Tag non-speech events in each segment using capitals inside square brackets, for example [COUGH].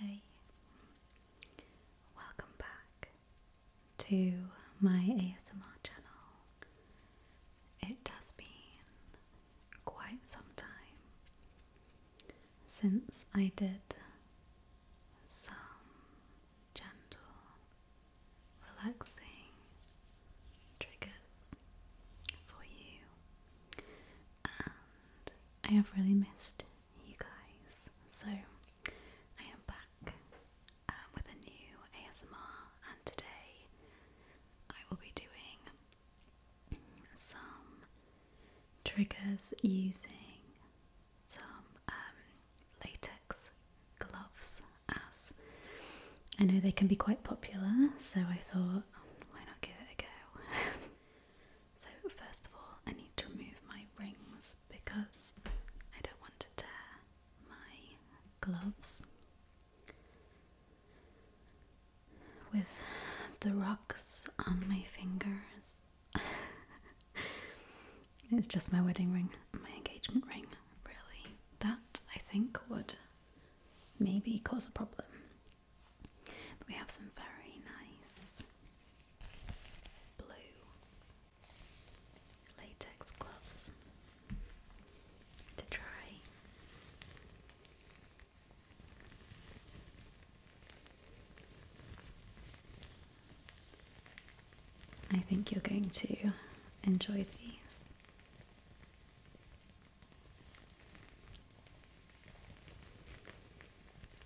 Hey, welcome back to my ASMR channel. It has been quite some time since I did some gentle, relaxing triggers for you, and I have really missed you guys. So I am back um, with a new ASMR, and today I will be doing some triggers using some um, latex gloves. As I know they can be quite popular, so I thought, why not give it a go? [LAUGHS] So first of all, I need to remove my rings because I don't want to tear my gloves. With the rocks on my fingers. [LAUGHS] it's just my wedding ring, my engagement ring, really. That I think would maybe cause a problem we have some very nice blue latex gloves to try. I think you're going to enjoy these.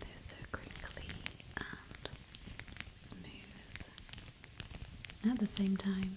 They're so crinkly and smooth at the same time.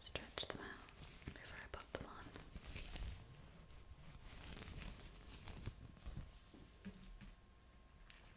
Stretch them out before I put them on.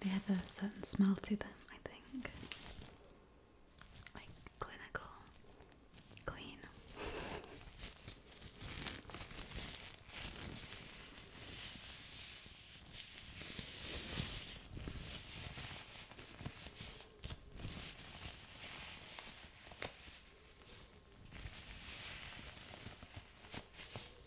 They have a certain smell to them, I think. Like clinical, clean.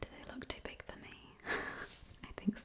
Do they look too big for me? [LAUGHS] I think so.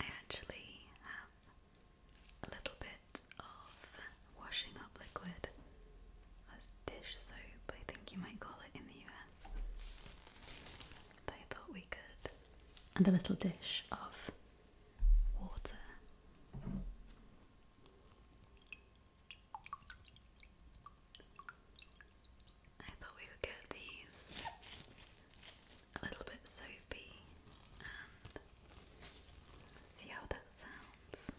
I actually have a little bit of washing up liquid as dish soap, I think you might call it in the US. I thought we could. And a little dish of water. I thought we could get these a little bit soapy and see how that sounds.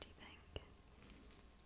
Do you think?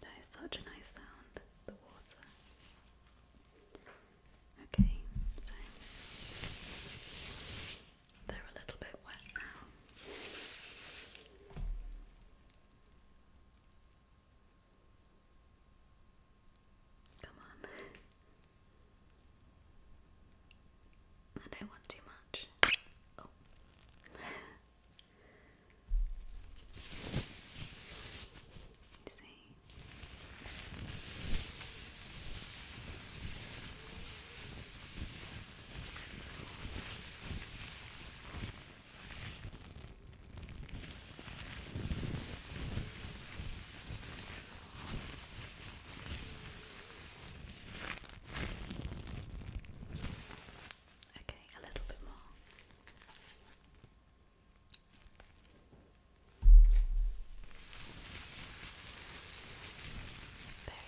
That is such a nice sound, the water. Okay, so they're a little bit wet now. Come on. I want too much. Oh. see. Okay, a little bit more. Very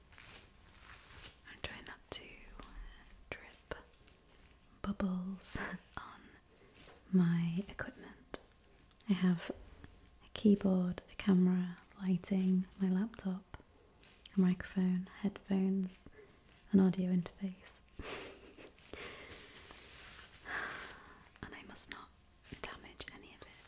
I'm trying not to drip bubbles [LAUGHS] on my equipment. I have a keyboard, a camera, lighting, my laptop, a microphone, headphones, an audio interface. [SIGHS] and I must not damage any of it.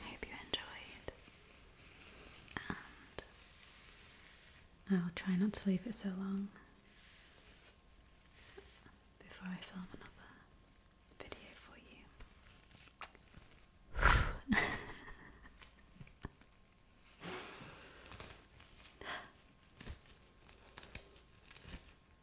I hope you enjoyed, and I'll try not to leave it so long before I film another video for you. [LAUGHS]